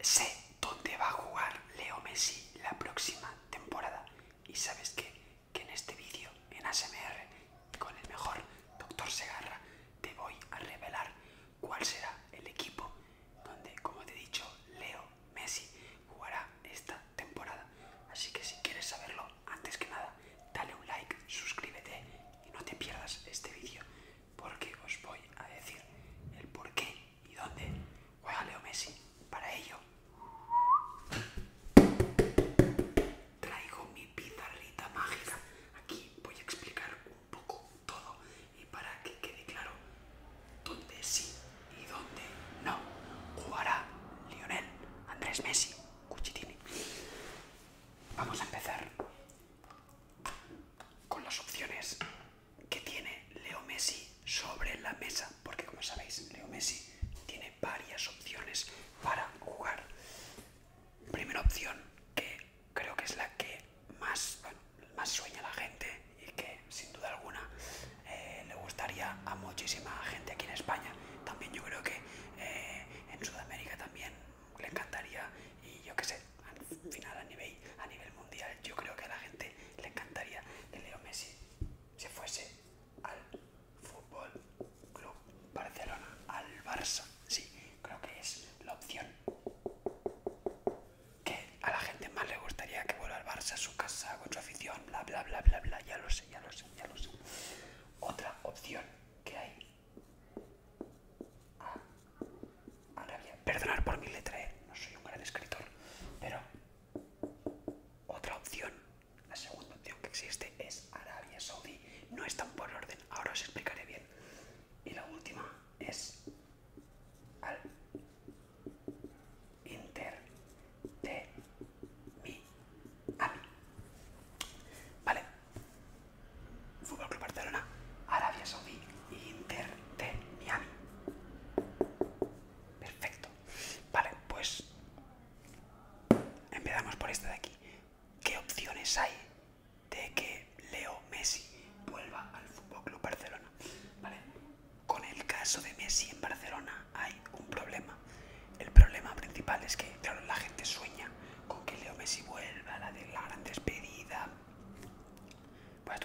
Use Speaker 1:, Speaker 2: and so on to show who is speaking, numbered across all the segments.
Speaker 1: Sé dónde va a jugar Leo Messi la próxima temporada. Y sabes que en este vídeo, en ASMR, con el mejor Doctor Segarra, te voy a revelar cuál será el equipo donde, como te he dicho, Leo Messi jugará esta temporada. Así que si quieres saberlo, antes que nada, dale un like, suscríbete y no te pierdas este vídeo porque os voy a decir el porqué ¿Y dónde? Juega Leo Messi. Para ello, traigo mi pizarrita mágica. Aquí voy a explicar un poco todo y para que quede claro dónde sí y dónde no jugará Lionel Andrés Messi Cuchitini. Vamos a empezar con las opciones que tiene Leo Messi sobre la mesa, porque como sabéis, Leo Messi tiene varias opciones para jugar. Primera opción, que creo que es la que más, más sueña la gente y que sin duda alguna eh, le gustaría a muchísima gente aquí en España. También yo creo que eh, en Sudamérica también le encantaría y yo qué sé, al final a nivel, mundial yo creo que a la gente le encantaría que Leo Messi se fuese al Fútbol Club Barcelona, al Barça. Sí, creo que es la opción que a la gente más le gustaría que vuelva al Barça, a su casa, con su afición, bla, bla, bla, bla, bla, ya lo sé, ya lo sé, ya lo sé. Otra opción que hay ah, Arabia. perdonar por mi letra, E, no soy un gran escritor, pero otra opción, la segunda opción que existe es Arabia Saudí. No están por orden, ahora os explicaré bien. Y la última es al Inter de mi Vale. Fútbol Club Barcelona, Arabia Saudí Inter Perfecto. Vale, pues empezamos por esta de aquí. ¿Qué opciones hay de que Leo Messi vuelva al FC Barcelona? Vale. Con el caso de Messi en Barcelona hay un problema. El problema principal es que, la gente sueña con que Leo Messi vuelva, a la gran despedida. Voy a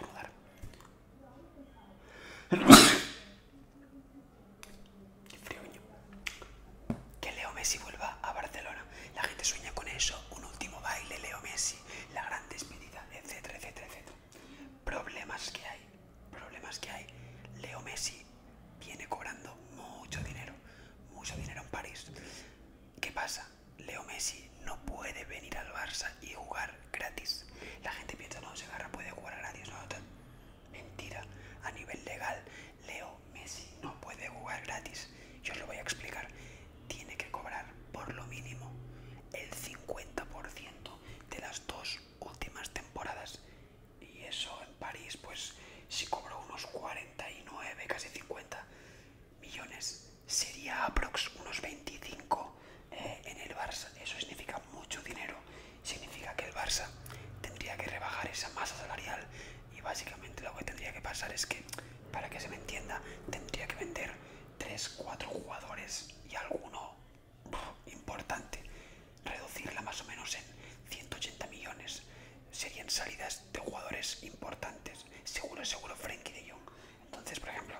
Speaker 1: Qué frioño. Que Leo Messi vuelva a Barcelona. La gente sueña con eso. Un último baile, Leo Messi. La gran despedida, etcétera, etcétera, etcétera. Problemas que hay. Problemas que hay. Leo Messi viene cobrando mucho dinero. Mucho dinero en París. ¿Qué pasa? Leo Messi no puede venir al Barça y jugar gratis. La gente piensa, no, agarra puede jugar gratis, no, Mentira. A nivel legal, Leo Messi no puede jugar gratis. Yo os lo voy a explicar. Tiene que cobrar por lo mínimo el 50% de las dos últimas temporadas. Y eso en París, pues si cobró unos 49, casi 50, millones sería aprox unos 25 eh, en el Barça. Eso significa mucho dinero. Significa que el Barça tendría que rebajar esa masa salarial y básicamente lo que tendría que pasar es que, para que se me entienda, tendría que vender 3, 4 jugadores y alguno importante. Reducirla más o menos en 180 millones. Serían salidas de jugadores importantes. Seguro, seguro, Frenkie de Jong entonces, por ejemplo,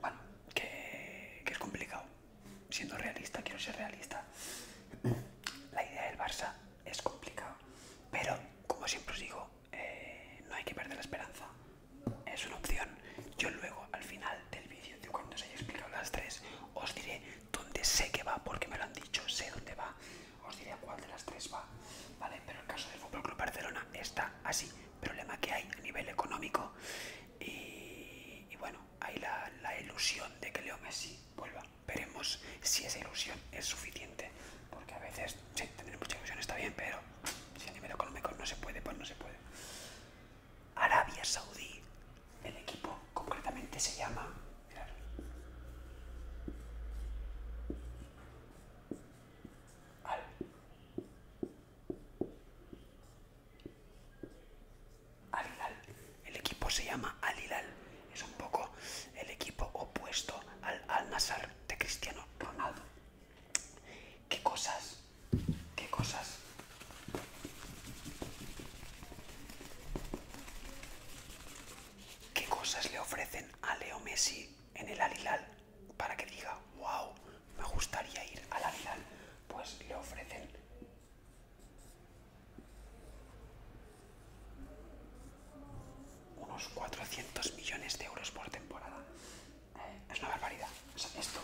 Speaker 1: bueno, que, es complicado. Siendo realista, quiero ser realista. La idea del Barça es complicado, pero como siempre os digo, eh, no hay que perder la esperanza. Es una opción. Yo luego, al final del vídeo, de cuando os haya explicado las tres, os diré dónde sé que va, porque me lo han dicho, sé dónde va. Os diré a cuál de las tres va, ¿vale? pero el caso del Fútbol Club Barcelona está así. Problema que hay a nivel económico y, bueno, hay la, ilusión de que Leo Messi vuelva. Veremos si esa ilusión es suficiente, porque a veces, sí, tener mucha ilusión está bien, pero si a nivel económico no se puede, pues no se puede. Arabia Saudí, el equipo concretamente se llama al. El equipo se llama Al Hilal. Es un poco el equipo opuesto al Al Nazar de Cristiano Ronaldo. ¿Qué cosas? ¿Qué cosas? ¿Qué cosas le ofrecen a Leo Messi en el Al Hilal? para que diga, wow, me gustaría ir a la final, pues le ofrecen unos 400 millones de euros por temporada. Eh, es una barbaridad. esto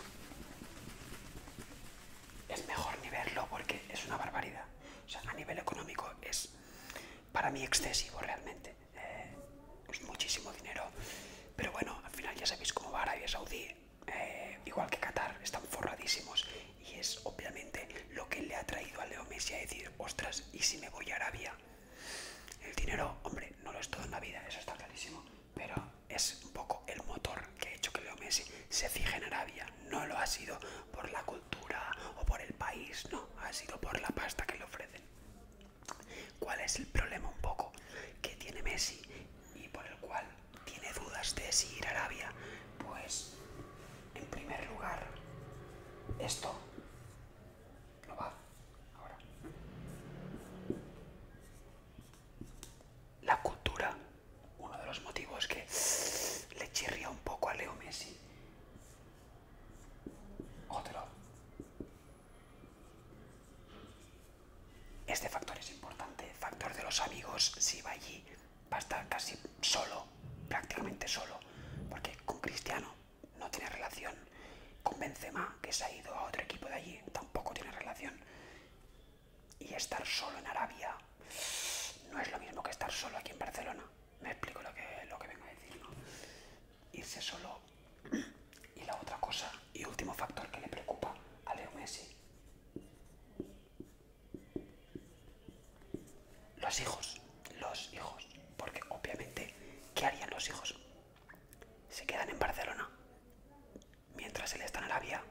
Speaker 1: es mejor ni verlo porque es una barbaridad. O sea, a nivel económico es para mí excesivo realmente es eh, muchísimo dinero. Pero bueno, al final ya sabéis cómo va Arabia Saudí, eh, igual que Qatar, están forradísimos y es obviamente lo que le ha traído a Leo Messi a decir, ostras, ¿y si me voy a Arabia? El dinero, hombre, no lo es todo en la vida, eso está clarísimo, pero es un poco el motor que ha hecho que Leo Messi se fije en Arabia. No lo ha sido por la cultura o por el país, no, ha sido por la pasta que le ofrecen. ¿Cuál es el problema un poco que tiene Messi y por el cual tiene dudas de seguir a Arabia? Pues, en primer lugar, esto lo va ahora. La cultura, uno de los motivos que le chirría un poco a Leo Messi. Otro, este factor es importante, factor de los amigos, si va allí va a estar casi solo, prácticamente solo, porque con Cristiano no tiene relación, con Benzema, que se ha ido a otro equipo de allí, tampoco tiene relación, y estar solo en Arabia no es lo mismo que estar solo aquí en Barcelona me explico lo que, lo vengo a decir, ¿no? Irse solo y la otra cosa y último factor que le preocupa a Leo Messi. Los hijos, los hijos, porque obviamente, ¿qué harían los hijos? Se quedan en Barcelona mientras él está en Arabia,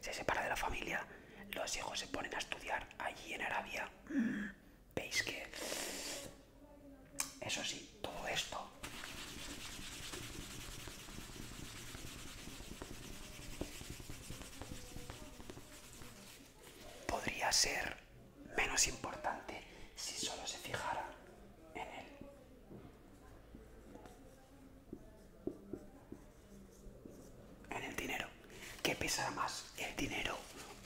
Speaker 1: se separa de la familia, los hijos se ponen a estudiar allí en Arabia veis que eso sí, todo esto podría ser menos importante si solo se fijara en él. En el dinero. ¿Qué pesará más? ¿El dinero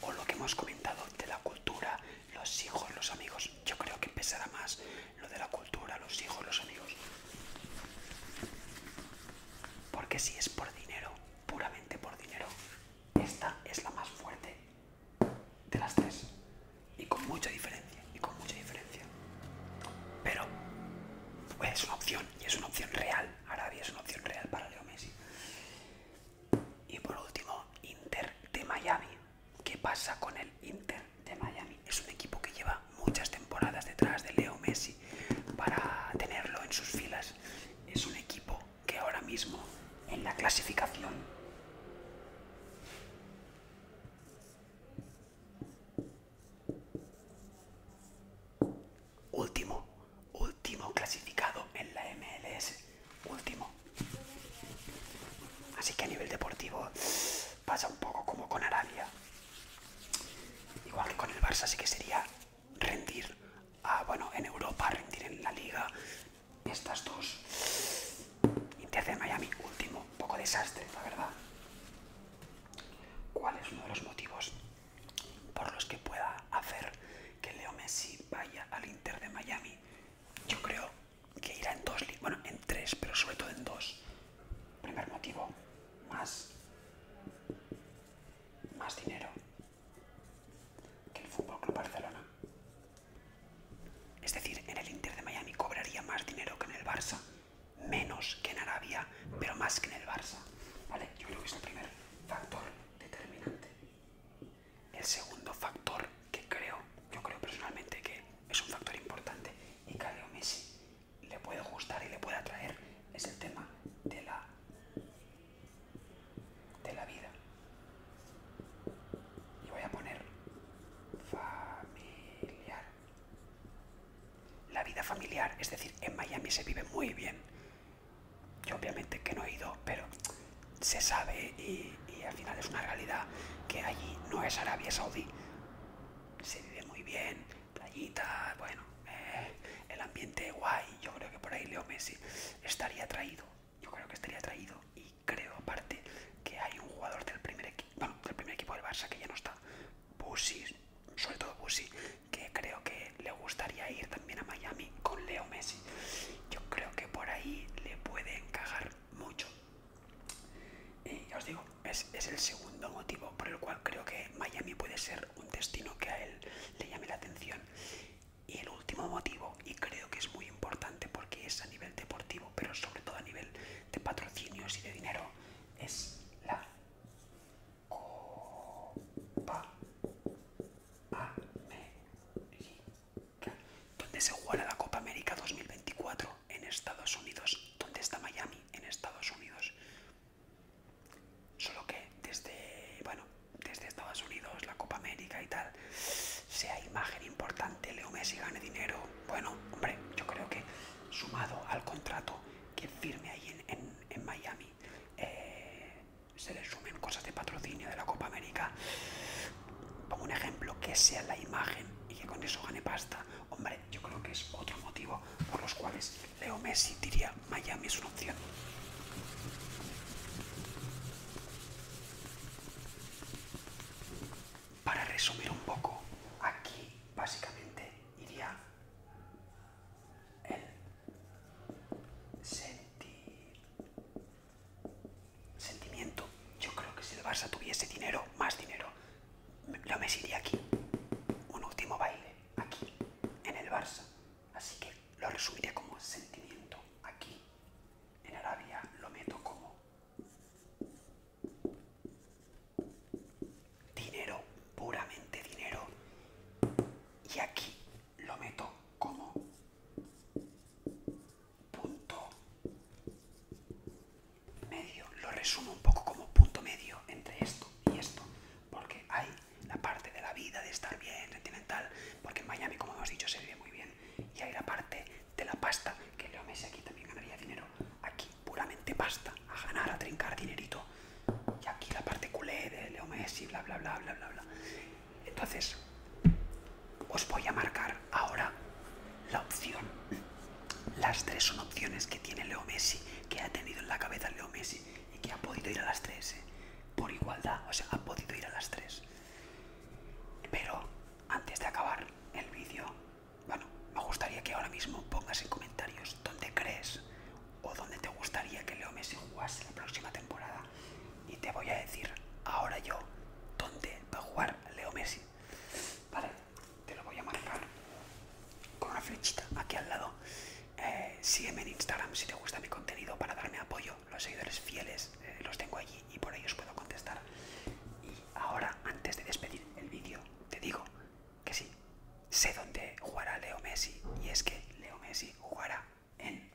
Speaker 1: o lo que hemos comentado de la cultura los hijos, los amigos. Yo creo que pesará más lo de la cultura, los hijos, los amigos. Porque si es por dinero, puramente por dinero, esta es la más fuerte de las tres. Y con mucha diferencia, y con mucha diferencia. Pero es una opción, y es una opción real. Arabia es una opción real para Leo Messi. Y por último, Inter de Miami. ¿Qué pasa con el Inter de Miami? Es un equipo que lleva muchas temporadas detrás de Leo Messi para tenerlo en sus filas. Es un equipo que ahora mismo en la clasificación último último clasificado en la MLS. Último. Así que a nivel deportivo pasa un poco como con Arabia. Igual que con el Barça, sí que sería rendir a, bueno, en Europa, rendir en la liga. Estas dos. Inter de Miami, último. poco desastre, la verdad. ¿Cuál es uno de los motivos por los que pueda hacer que Leo Messi vaya al Inter de Miami. Yo creo que irá en dos, bueno, en tres, pero sobre todo en dos. Primer motivo, más, dinero que el Fútbol Barcelona. Es decir, en el Inter de Miami cobraría más dinero que en el Barça, menos que en Arabia, pero más que en el Barça. Yo creo que es el primer factor determinante. El segundo factor que creo, yo creo personalmente que es un factor importante y que a Leo Messi le puede gustar y le puede atraer, es el tema de la, de la vida. Y voy a poner familiar. La vida familiar, es decir, en Miami se vive muy bien. Yo obviamente que no he ido, pero se sabe y, al final es una realidad que allí no es Arabia Saudí. Se vive muy bien, playitas, bueno, eh, el ambiente guay. Yo creo que por ahí Leo Messi estaría traído. Yo creo que estaría traído y creo aparte que hay un jugador del primer equipo, bueno, del primer equipo del Barça que ya no está, Bussi, sobre todo Bussi, que creo que me gustaría ir también a Miami con Leo Messi. Yo creo que por ahí le puede encajar mucho. Y ya os digo, es, es el segundo motivo por el cual creo que Miami puede ser un destino que a él le llame la atención. Y el último motivo, y creo que es muy importante porque es a nivel deportivo, pero sobre todo a nivel de patrocinios y de dinero, es la Copa ¿Dónde donde se jugará la Copa América 2024 en Estados Unidos, ¿Dónde está Miami, en Estados Unidos. Solo que desde, bueno, desde Estados Unidos, la Copa América y tal, sea imagen importante, Leo Messi gane dinero. Bueno, hombre, yo creo que sumado al contrato que firme ahí en, Miami, eh, se resumen cosas de patrocinio de la Copa América. Pongo un ejemplo, que sea la imagen y que con eso gane pasta. Hombre, yo creo que es otro motivo por los cuales Leo Messi diría Miami es una opción. Para resumir un poco, aquí básicamente iría el sentir Sentimiento. Yo creo que si el Barça tuviese dinero, más dinero, lo me iría aquí. Un último baile, aquí, en el Barça. Así que lo resumiría como sentimiento. Aquí, en Arabia, lo meto como dinero, puramente dinero. Y aquí lo meto como punto medio. Lo resumo un poco como punto medio entre esto y esto. Porque hay la parte de la vida, de estar bien, sentimental. Porque en Miami, como hemos dicho, se vive muy bien. Y hay la parte de la pasta, que Leo Messi aquí también ganaría dinero. Aquí puramente pasta, a ganar, a trincar dinerito. Y aquí la parte culé de Leo Messi, bla, bla, bla, bla, bla, bla. Entonces, os voy a marcar ahora la opción. Las tres son opciones que tiene Leo Messi, que ha tenido en la cabeza Leo Messi y que ha podido ir a las tres. ¿eh? Por igualdad, o sea, ha podido ir a las tres. Pero antes de acabar el vídeo, bueno, me gustaría que ahora mismo pongas en comentarios dónde crees o dónde te gustaría que Leo Messi jugase la próxima temporada. Y te voy a decir ahora yo dónde va a jugar Leo Messi. Vale, te lo voy a marcar con una flechita aquí al lado. Eh, sígueme en Instagram si te gusta mi contenido para darme apoyo. Los seguidores fieles eh, los tengo allí y por ahí os puedo contestar. Y ahora, antes de despedir el vídeo, te digo que sí, sé dónde jugará Leo Messi. Y es que Leo Messi jugará en...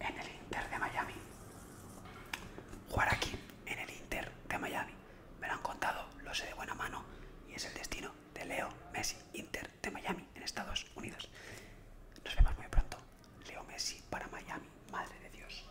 Speaker 1: el Inter de Miami. Jugar aquí, en el Inter de Miami. Me lo han contado, lo sé de buena mano y es el destino de Leo Messi, Inter de Miami, en Estados Unidos. Nos vemos muy pronto. Leo Messi para Miami, madre de Dios.